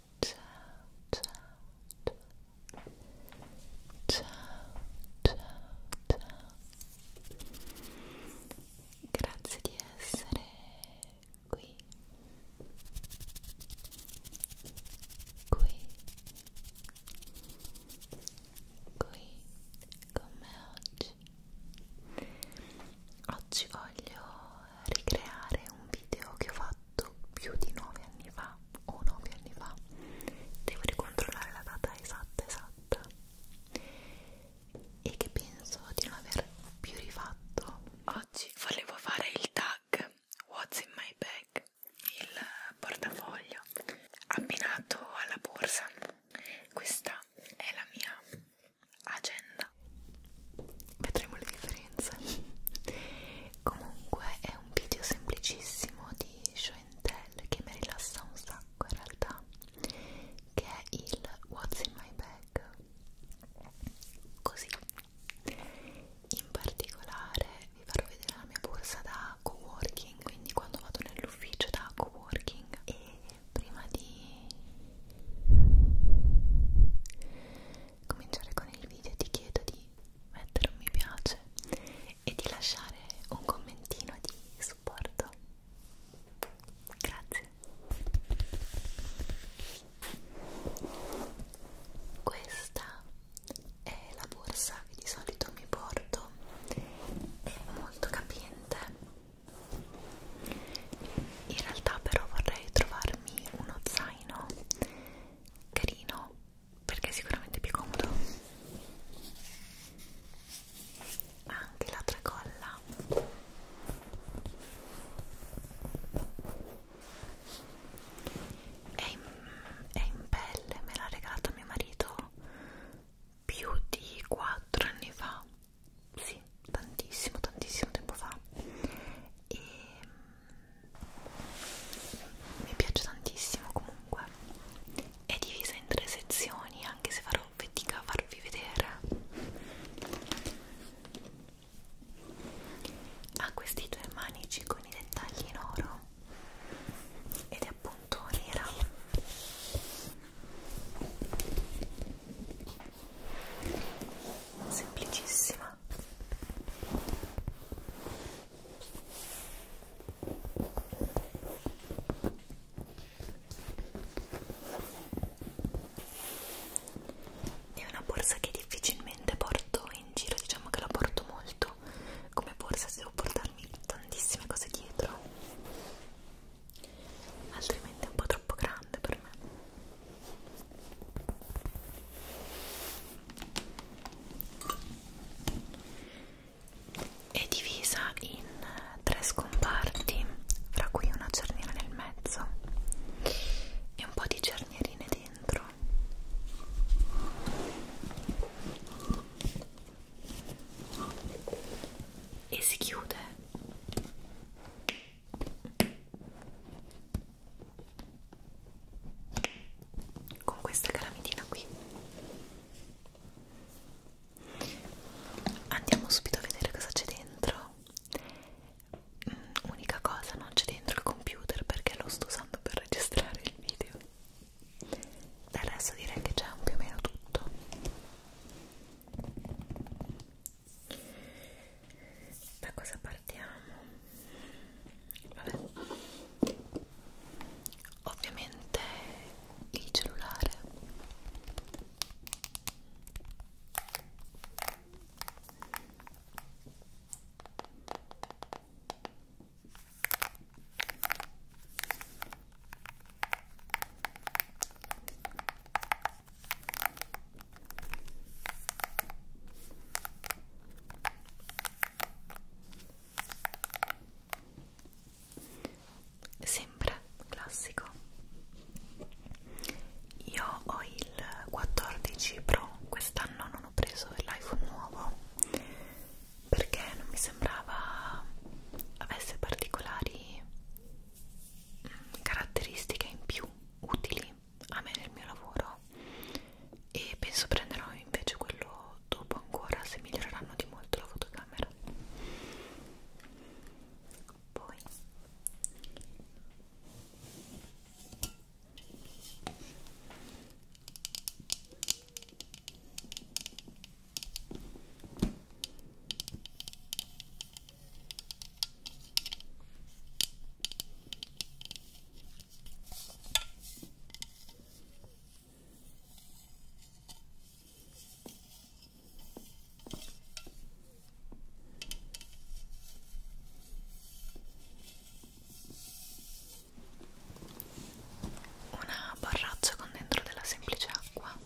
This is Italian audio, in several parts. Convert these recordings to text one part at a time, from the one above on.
ciao ciao ciao ciao ciao grazie di essere qui qui qui con me oggi oggi voglio ricreare un video che ho fatto fatto più di 9 anni fa o 9 anni fa devo ricontrollare la data esatta esatta e che penso di non aver più rifatto oggi volevo fare il tag what's in my bag il portafoglio abbinato alla borsa questa è la mia agenda vedremo le differenze comunque è un video semplicissimo di show and tell che mi rilassa un sacco in realtà che è il what's in my bag così in particolare vi farò vedere la mia borsa da co-working quindi quando vado nell'ufficio da co-working e prima di cominciare con il video ti chiedo di mettere un mi piace e di lasciare un commentino di supporto grazie questa è la borsa che di solito mi porto è molto capiente in realtà però vorrei trovarmi uno zaino carino perché è sicuramente più comodo anche la tracolla è in, è in pelle me l'ha regalata mio marito più di 4 anni fa sì tantissimo tantissimo tempo fa e mi piace tantissimo comunque è divisa in tre sezioni anche se farò fatica a farvi vedere ha questi due manici con i dettagli in oro ed è appunto nera semplicissima è una borsa che difficilmente porto in giro, diciamo che la porto molto come borsa se devo portarmi tantissime cose dietro, altrimenti è un po' troppo grande per me è divisa in tre scomparti fra cui una cerniera nel mezzo e un po' di cernierine dentro e si chiude con questa calamitina qui andiamo subito a vedere cosa c'è dentro mm, unica cosa non c'è dentro il computer perché lo sto usando per registrare il video del resto direi che c'è più o meno tutto da cosa partiamo? Vabbè. Ovviamente il cellulare sempre classico io ho il 14 Pro quest'anno non ho preso l'iPhone nuovo perché non mi sembrava avesse particolari mm, caratteristiche in più utili a me nel mio lavoro e penso prenderò invece quello dopo ancora se miglioreranno di molto la fotocamera poi una borraccia con dentro della semplice acqua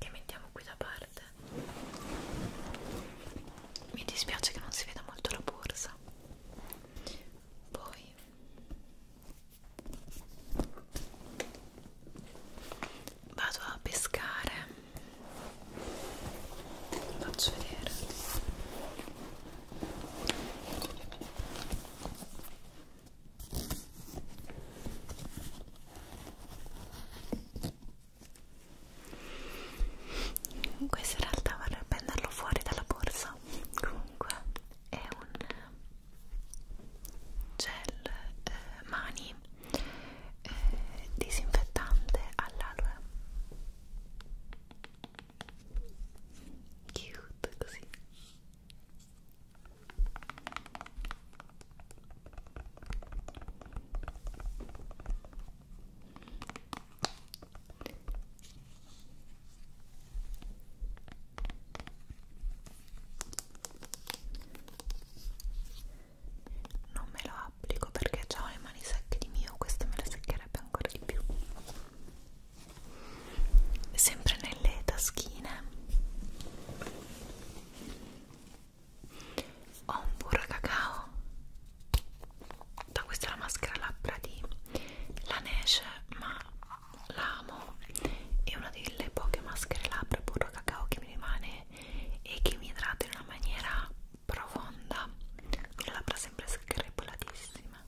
che mettiamo qui da parte mi dispiace che non si veda molto la borsa poi vado a pescare vi faccio vedere questo in realtà vorrei prenderlo fuori dalla borsa comunque è un gel eh, mani eh, disinfettante all'aloe Cute così. Non me lo applico perché già ho le mani secche di mio questo me le seccherebbe ancora di più sempre nelle taschine ho un burro cacao da questa è la maschera labbra di Laneige ma l'amo è una delle poche maschere labbra burro cacao che mi rimane e che mi idrata in una maniera profonda con le labbra sempre screpolatissime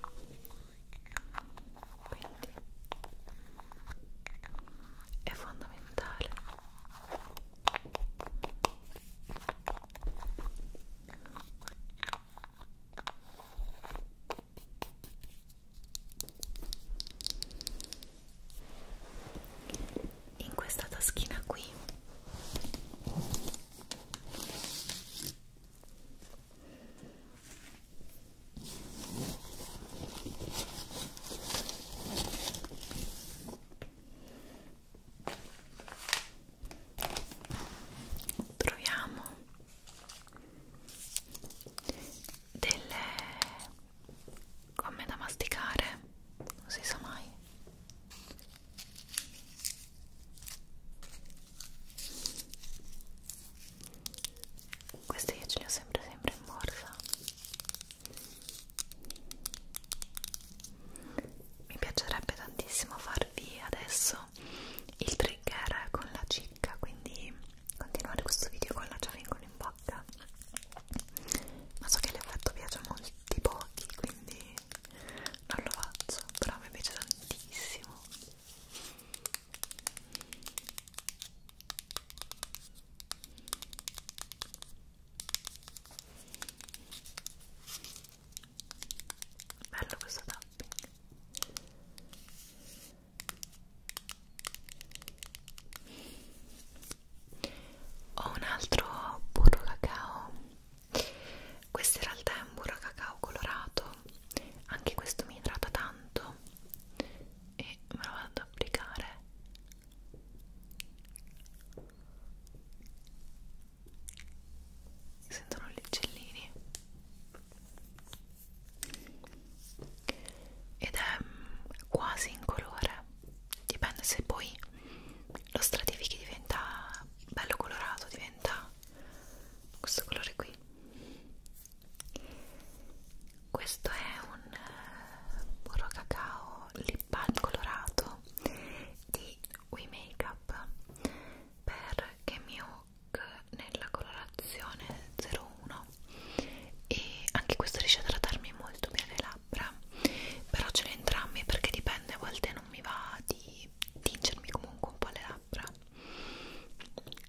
quindi è fondamentale in questa taschina qui Troviamo delle gomme da masticare, non si sa mai queste io ce le ho sempre sempre in borsa mi piacerebbe tantissimo farvi adesso il trigger con la cicca quindi continuare questo video con la ciavingola in bocca ma so che l'effetto piace a molti pochi quindi non lo faccio però mi piace tantissimo bello questo tapping ho un altro burro cacao questo in realtà è un burro cacao colorato anche questo mi idrata tanto e me lo vado ad applicare si sentono gli uccellini ed è quasi in colore dipende se poi lo stratifichi diventa bello colorato diventa questo colore qui questo è un eh, burro cacao lip balm colorato di We Makeup per Game nella colorazione 01 e anche questo riesce ad trattarmi molto bene le labbra però ce l'ho entrambi perché dipende a volte non mi va di tingermi comunque un po' le labbra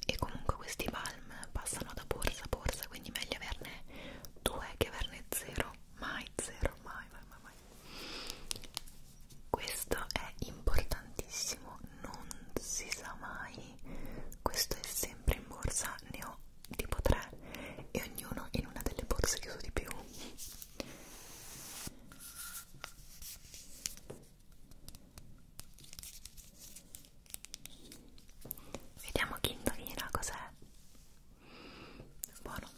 e comunque questi balm passano da borsa a borsa quindi meglio averne due che averne zero mai zero mai mai mai, mai. questo è importantissimo non si sa mai questo è sempre in borsa ne ho tipo tre e ognuno in una delle borse chiuso di più Vediamo chi indovina cos'è. Buono.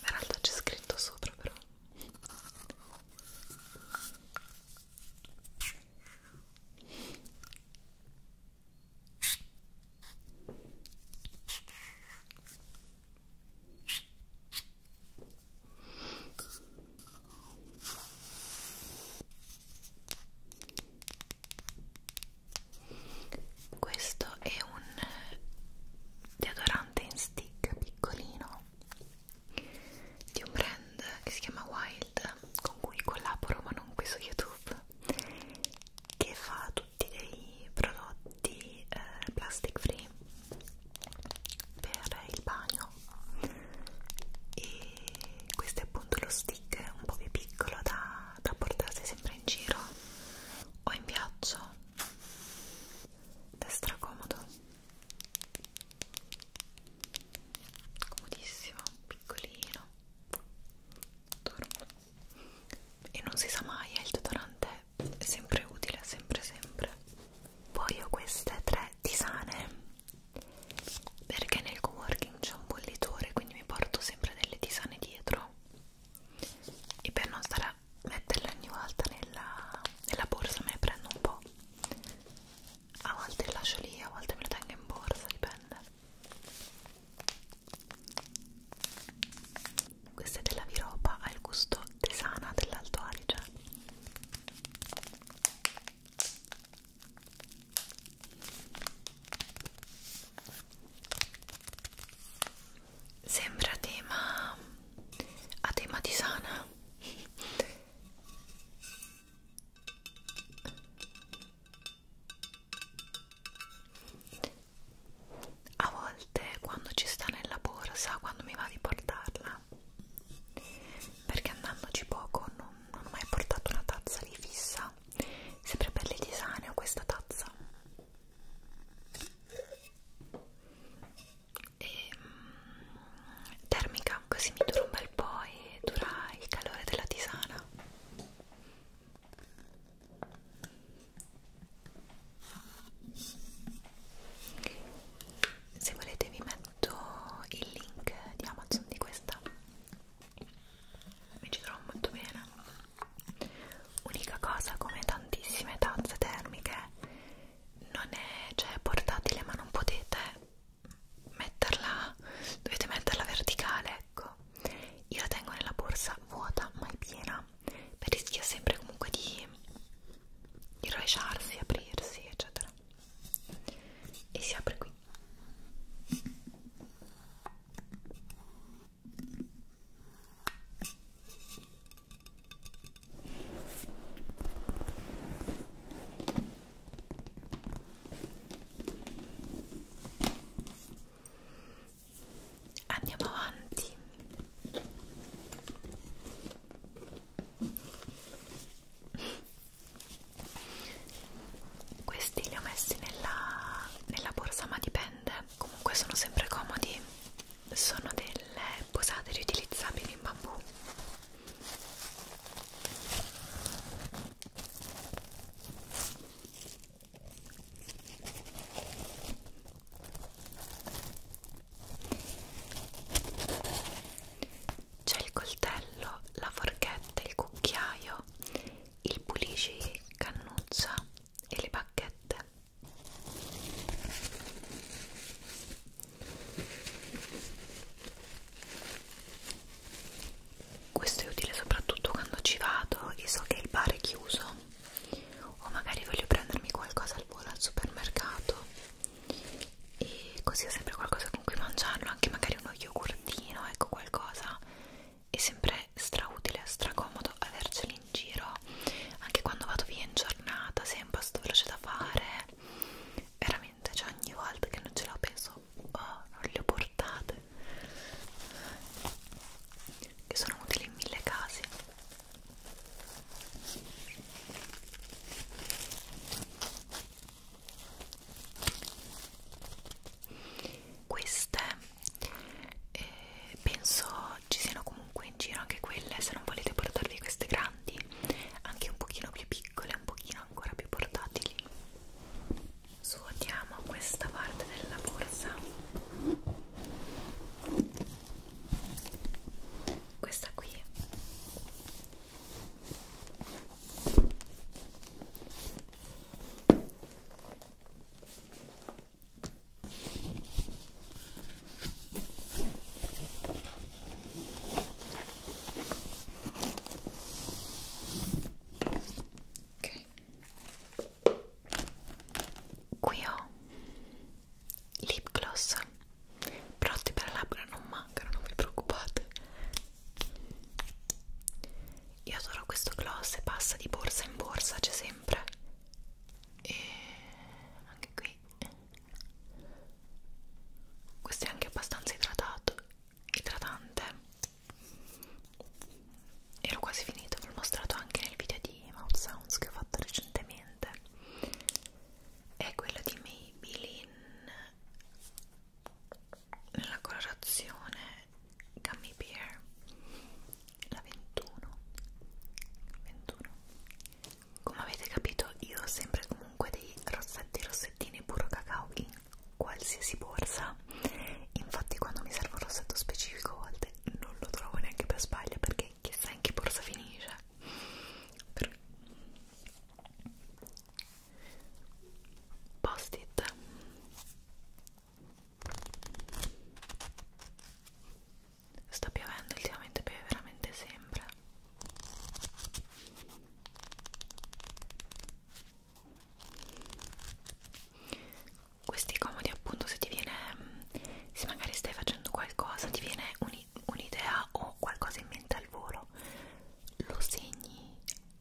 In realtà c'è scritto sopra però. Questo è un deodorante in stick piccolino di un brand che si chiama Wild con cui collaboro ma non qui su YouTube che fa tutto tutti dei prodotti eh, plastic free per il bagno e questo è appunto lo stick un po' più piccolo da, da portarsi sempre in giro o in viaggio ed è stracomodo comodissimo, piccolino adoro e non si sa mai, il deodorante è sempre utile, sempre sempre. Poi ho queste tre tisane perché nel coworking c'è un bollitore, quindi mi porto sempre delle tisane dietro e per non stare a metterle ogni volta nella, nella borsa me ne prendo un po'. A volte le lascio lì, a volte me le tengo in borsa, dipende. Questa è della Viropa, ha il gusto tesana dell'Alto Adige. Sembra tema a tema tisana a volte quando ci sta nella borsa quando mi va di portarla perché andandoci poco non, non ho mai portato una tazza lì fissa sempre per le tisane ho questa tazza e, mm, termica così mi dura un bel po' e dura il calore della tisana se volete vi metto il link di Amazon di questa mi ci trovo molto bene unica cosa come tantissime tazze termiche non è cioè portatile ma non potete metterla dovete metterla verticale ecco io la tengo nella borsa vuota mai piena per rischia sempre comunque di rovesciarsi, aprirsi eccetera e si apre qui andiamo avanti questi li ho messi nella, nella borsa ma dipende comunque sono sempre comodi sono delle posate riutilizzabili in bambù c'è il coltello, la forchetta, il cucchiaio, il pulisci cannuccia e le bacchette questo è utile soprattutto quando ci vado e so che il bar è chiuso o magari voglio prendermi qualcosa al volo al supermercato e così ho sempre qualcosa con cui mangiarlo anche magari uno yogurtino ecco qualcosa è sempre strautile, stracomodo avercelo in giro anche quando vado via in giornata se è un pasto veloce da fare veramente, cioè ogni volta che non ce la penso oh, non le ho portate che sono utili in mille casi queste eh, penso ci siano comunque in giro anche quelle se non volete portarvi queste grandi anche un pochino più piccole un pochino ancora più portatili Svuotiamo questa parte della borsa. Questa qui. Ok qui ho lip gloss prodotti per labbra non mancano non vi preoccupate io adoro questo gloss e passa di borsa in borsa c'è sempre e anche qui questo è anche abbastanza idratato idratante ero quasi finito, ve l'ho mostrato anche nel video di Mouth Sounds che ho fatto recentemente è quella di Maybelline nella colorazione Gummy Bear la 21 21 come avete capito io ho sempre comunque dei rossetti rossettini puro cacao in qualsiasi borsa infatti quando mi serve un rossetto specifico a volte non lo trovo neanche per sbaglio perché chissà in che borsa finisce Però... post-it sta piovendo ultimamente piove veramente sempre questi comodi appunto se ti viene se magari stai facendo qualcosa ti viene un'idea un o qualcosa in mente al volo lo segni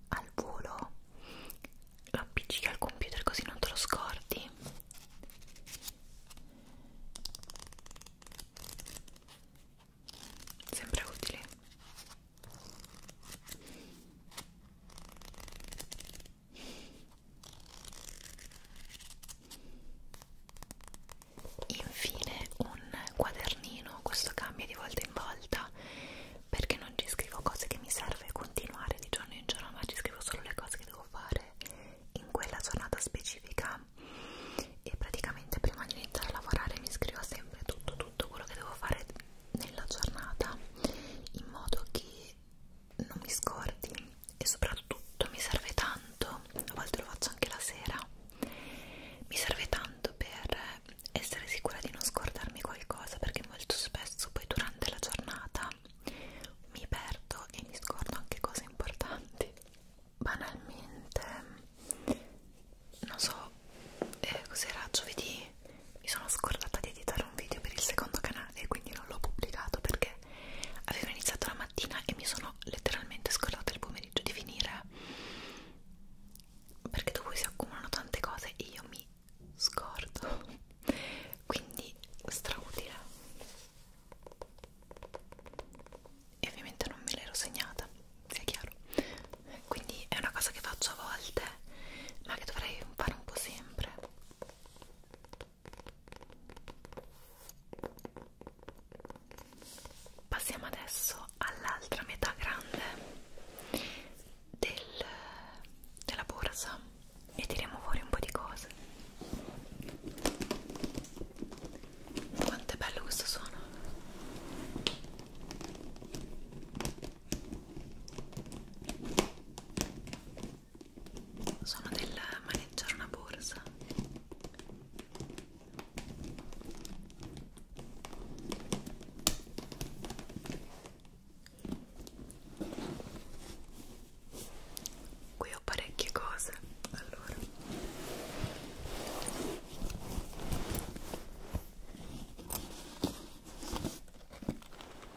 al volo lo appiccichi al computer così non te lo scordi sempre utile Infine un quadernino, questo cambia di volta in volta perché non ci scrivo cose che mi serve continuare di giorno in giorno, ma ci scrivo solo le cose che devo fare in quella giornata specifica e praticamente prima di iniziare a lavorare mi scrivo sempre tutto tutto quello che devo fare nella giornata in modo che non mi scordi e soprattutto mi serve tanto, a volte lo faccio anche la sera, mi serve tanto per essere sicura di non scordarmi qualcosa perché molto spesso poi durante la giornata mi perdo e mi scordo anche cose importanti. Banalmente, non so, eh, cos'era giovedì mi sono scordata di editare un video per il secondo canale e quindi non l'ho pubblicato perché avevo iniziato la mattina e mi sono letteralmente scordata il pomeriggio di finire perché dopo si accumulano tante cose e io mi scordo quindi strautile e ovviamente non me l'ero segnata sia chiaro quindi è una cosa che faccio a volte ma che dovrei fare un po' sempre Passiamo adesso all'altra metà grande del, della borsa e tiriamo fuori un po' di cose. Quanto è bello questo suono! sono del maneggiare una borsa qui ho parecchie cose allora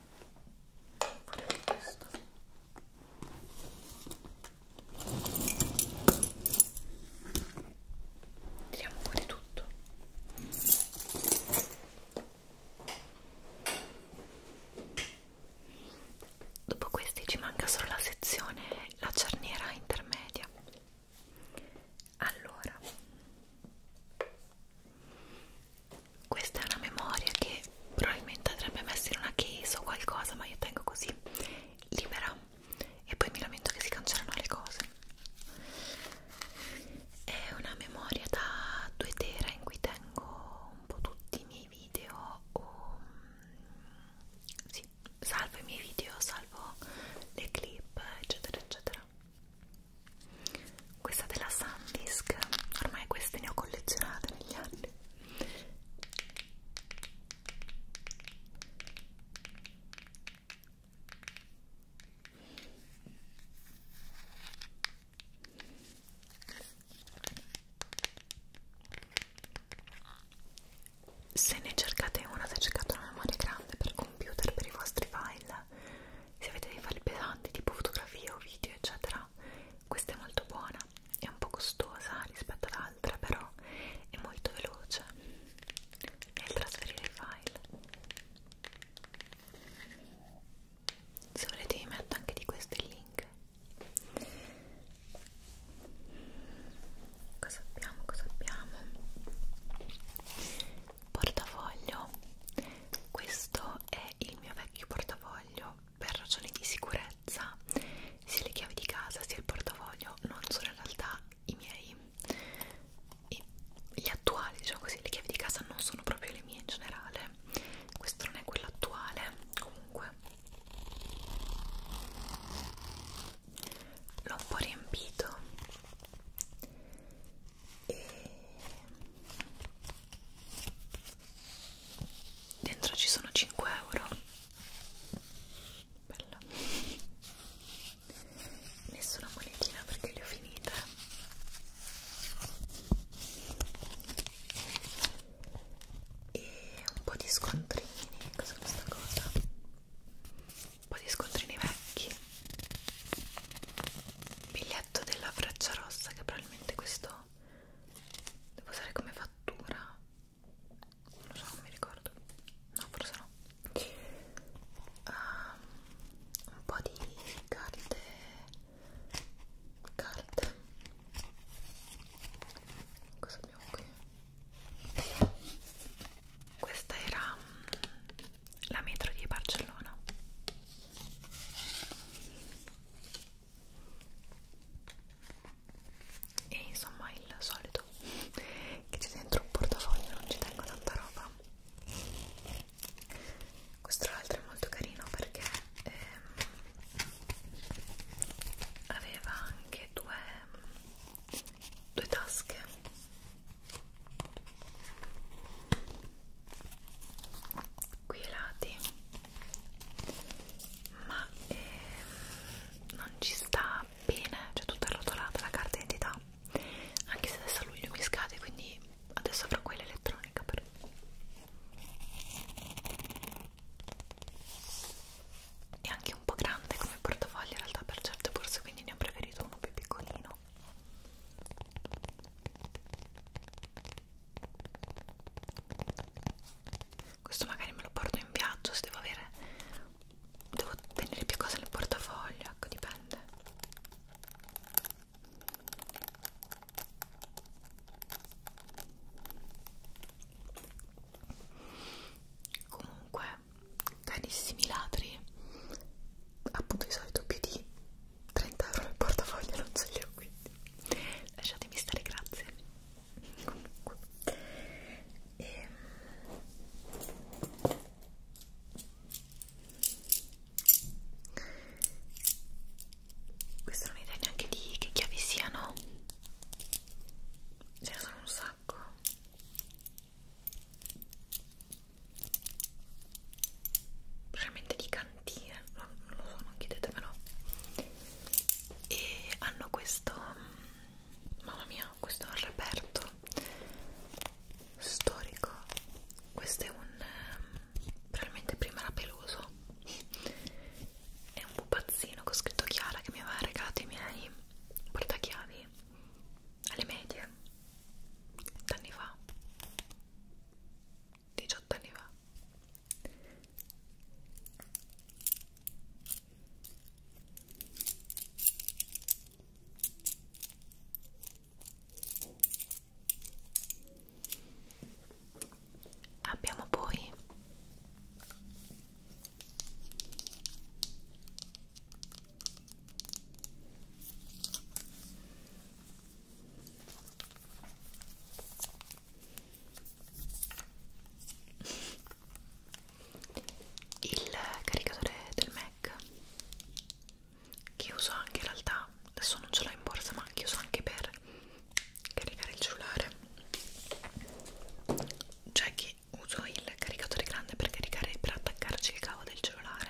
Fare anche questo tiriamo fuori tutto dopo questi ci manca solo la sezione la cerniera intermedia allora questa è una memoria che probabilmente andrebbe messa in una case o qualcosa ma io tengo così libera e poi mi lamento che si cancellano le cose è una memoria da 2 tera in cui tengo un po' tutti i miei video o, sì, salvo i miei video salvo le clip eccetera eccetera questa della Sandisk ormai queste ne ho collezionate negli anni se ne cercate una, se cercate una memoria grande per computer, per i vostri file, se avete dei file pesanti tipo fotografie o video eccetera, questa è molto buona è un po' costosa rispetto all'altra però è molto veloce nel trasferire i file se volete vi metto anche di questo il link cosa abbiamo cosa abbiamo portafoglio questo è il mio vecchio portafoglio per ragioni di sicurezza sia le chiavi di casa sia il portafoglio non sono in realtà i miei I, gli attuali diciamo così le chiavi di casa non sono proprio le mie in generale questo non è quello attuale comunque l'ho un po' riempito e dentro ci sono 5 euro bella nessuna monetina perché le ho finite e un po' di scontrini cos'è questa cosa? un po' di scontrini vecchi biglietto della freccia rossa che probabilmente questo devo usare come fattura non lo so, non mi ricordo no, forse no uh, un po' di carte carte cosa abbiamo qui? questa era mm, la metro di Barcellona e insomma il solito che c'è dentro un portafoglio non ci tengo tanta roba questo tra l'altro è molto carino perché ehm, aveva anche due, due tasche qui ai lati ma ehm, non ci sta bene, cioè tutta arrotolata la carta identità anche se adesso a luglio mi scade quindi adesso avrò quella elettronica però è anche un po' grande come portafoglio in realtà per certe borse quindi ne ho preferito uno più piccolino questo magari me lo porto in viaggio se devo avere devo tenere più cose nel portafoglio ecco dipende comunque carissimi ladri appunto di solito più di 30 euro nel portafoglio non ce li ho quindi lasciatemi stare grazie comunque e... Ehm, questa non è idea neanche di che chiavi siano ce ne sono un sacco probabilmente di casa brillantine eh, non, non lo so, non chiedetemelo e hanno questo mm, mamma mia, questo è un reperto storico questo è un mm, probabilmente prima era peloso è un pupazzino con scritto Chiara che mi aveva regalato i miei portachiavi alle medie anni fa 18 anni fa abbiamo poi il caricatore del Mac che uso anche in realtà adesso non ce l'ho in borsa ma che uso anche per caricare il cellulare cioè che uso il caricatore grande per caricare per attaccarci il cavo del cellulare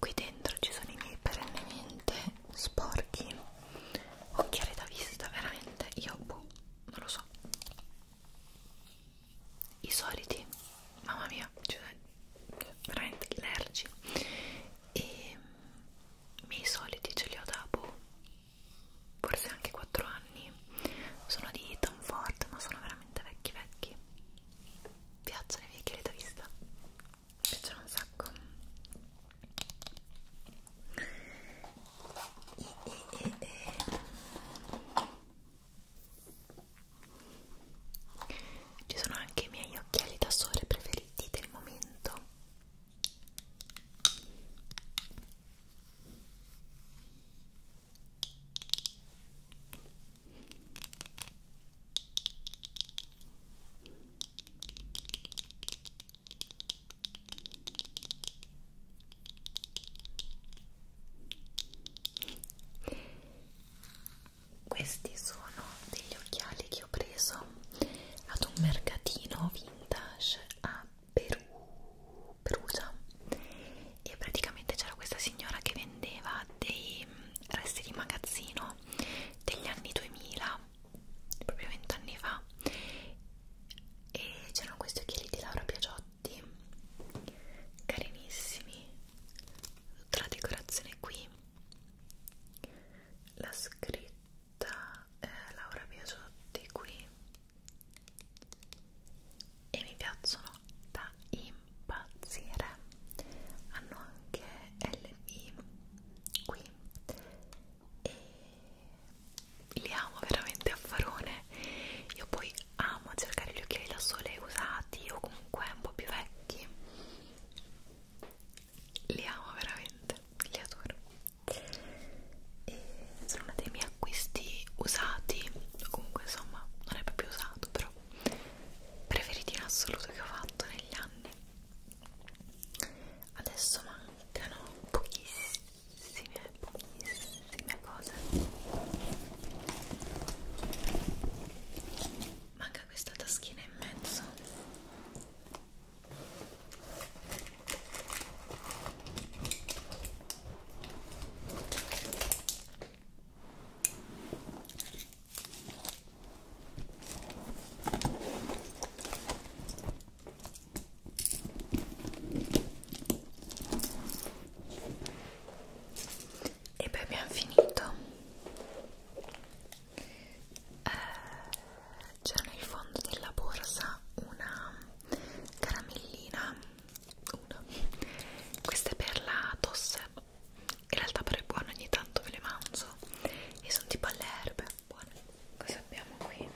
qui dentro ci sono i miei perennemente sporchi occhiali da vista veramente io boh, non lo so i soliti mamma mia cioè, veramente allergici e mm, i miei soliti ce li ho da boh, forse anche 4 anni sono di Tom Ford ma sono veramente vecchi vecchi piacciono i miei occhiali da vista piacciono un sacco e, e, e, e. ci sono anche i miei occhiali da sole preferiti del momento questi sono degli occhiali che ho preso ad un mercatino vintage a Peru, Perugia e praticamente c'era questa signora che vendeva dei resti di magazzino degli anni 2000 proprio vent'anni fa e c'erano questi occhiali di Laura Piagiotti carinissimi tutta la decorazione qui la scritta eh, Laura Piagiotti qui e mi piacciono da impazzire impazzire hanno anche LB qui e li amo veramente a farone io poi amo cercare gli occhiali da sole usati o comunque un po' più vecchi li amo veramente li adoro e sono uno dei miei acquisti usati comunque insomma non è proprio usato però preferiti in assoluto che ho fatto negli anni adesso mancano pochissime pochissime cose manca questa taschina in mezzo e poi abbiamo finito eh, c'era nel fondo della borsa una caramellina una questa è per la tosse in realtà però è buono ogni tanto ve le mangio e sono tipo alle erbe buone cosa abbiamo qui?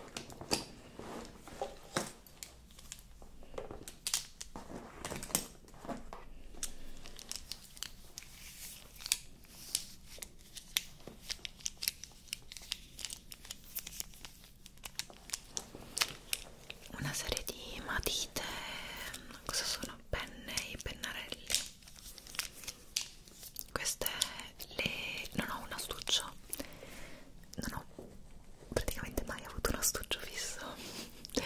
Una serie di matite, cosa sono? penne e pennarelli queste le... non ho un astuccio non ho praticamente mai avuto un astuccio fisso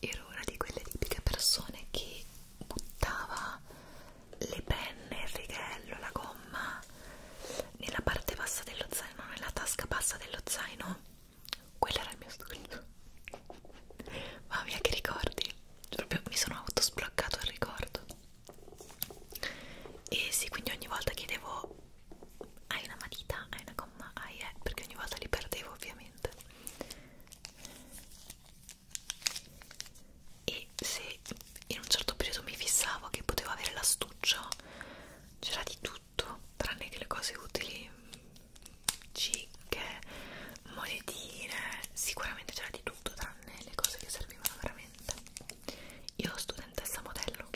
ero una di quelle tipiche persone che buttava le penne, il righello, la gomma nella parte bassa dello zaino, nella tasca bassa dello zaino quello era il mio sogno. Mamma mia, che ricordi! Proprio mi sono autosbloccato il ricordo. E sì, quindi ogni volta chiedevo hai una matita, hai una gomma, hai eh, perché ogni volta li perdevo ovviamente. E se in un certo periodo mi fissavo che potevo avere l'astuccio, c'era di tutto tranne che le cose utili cicche, monetine, sicuramente c'era di tutto tranne le cose che servivano veramente. Io studentessa modello.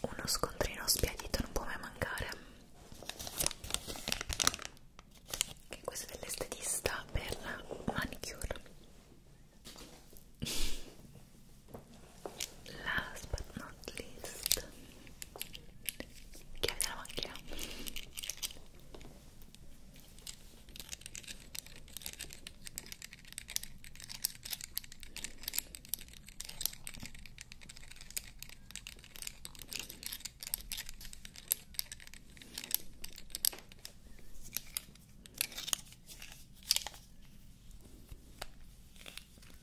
Uno scontrino spiedito non può mai mancare. Che questo è dell'estetista per la manicure. last but not least chiave della macchina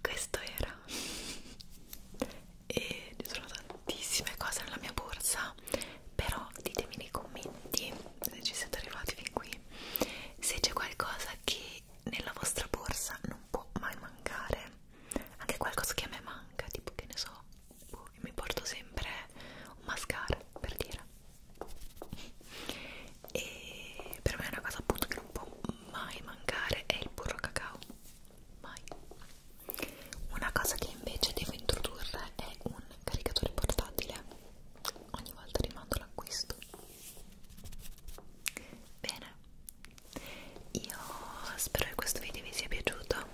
questo era e ci sono tantissime cose nella mia borsa però ditemi nei commenti se ci siete arrivati fin qui se c'è qualcosa che nella vostra borsa non può mai mancare anche qualcosa che a me manca tipo che ne so boh, vado e mi porto sempre un mascara per dire e per me è una cosa appunto che non può mai mancare è il burro cacao mai una cosa che invece devo introdurre è un caricatore portatile ogni volta rimando l'acquisto bene io spero che questo video vi sia piaciuto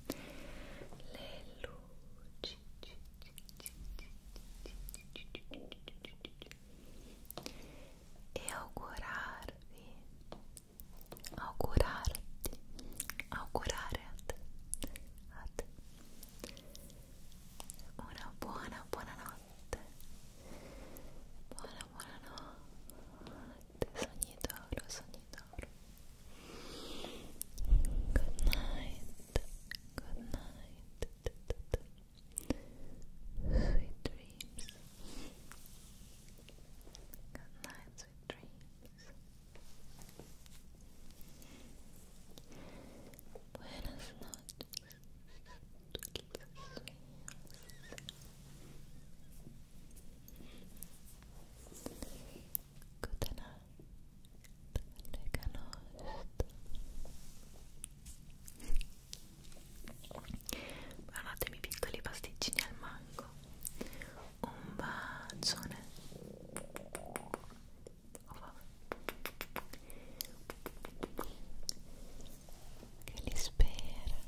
le luci e augurarvi augurarti augurare a te, una buona buona notte buona buona notte sogni d'oro, sogni d'oro Good night, good night Sweet dreams Good night, sweet dreams Buenas noches Guardatemi piccoli pasticcini al mango. Un bacione. Che li spera.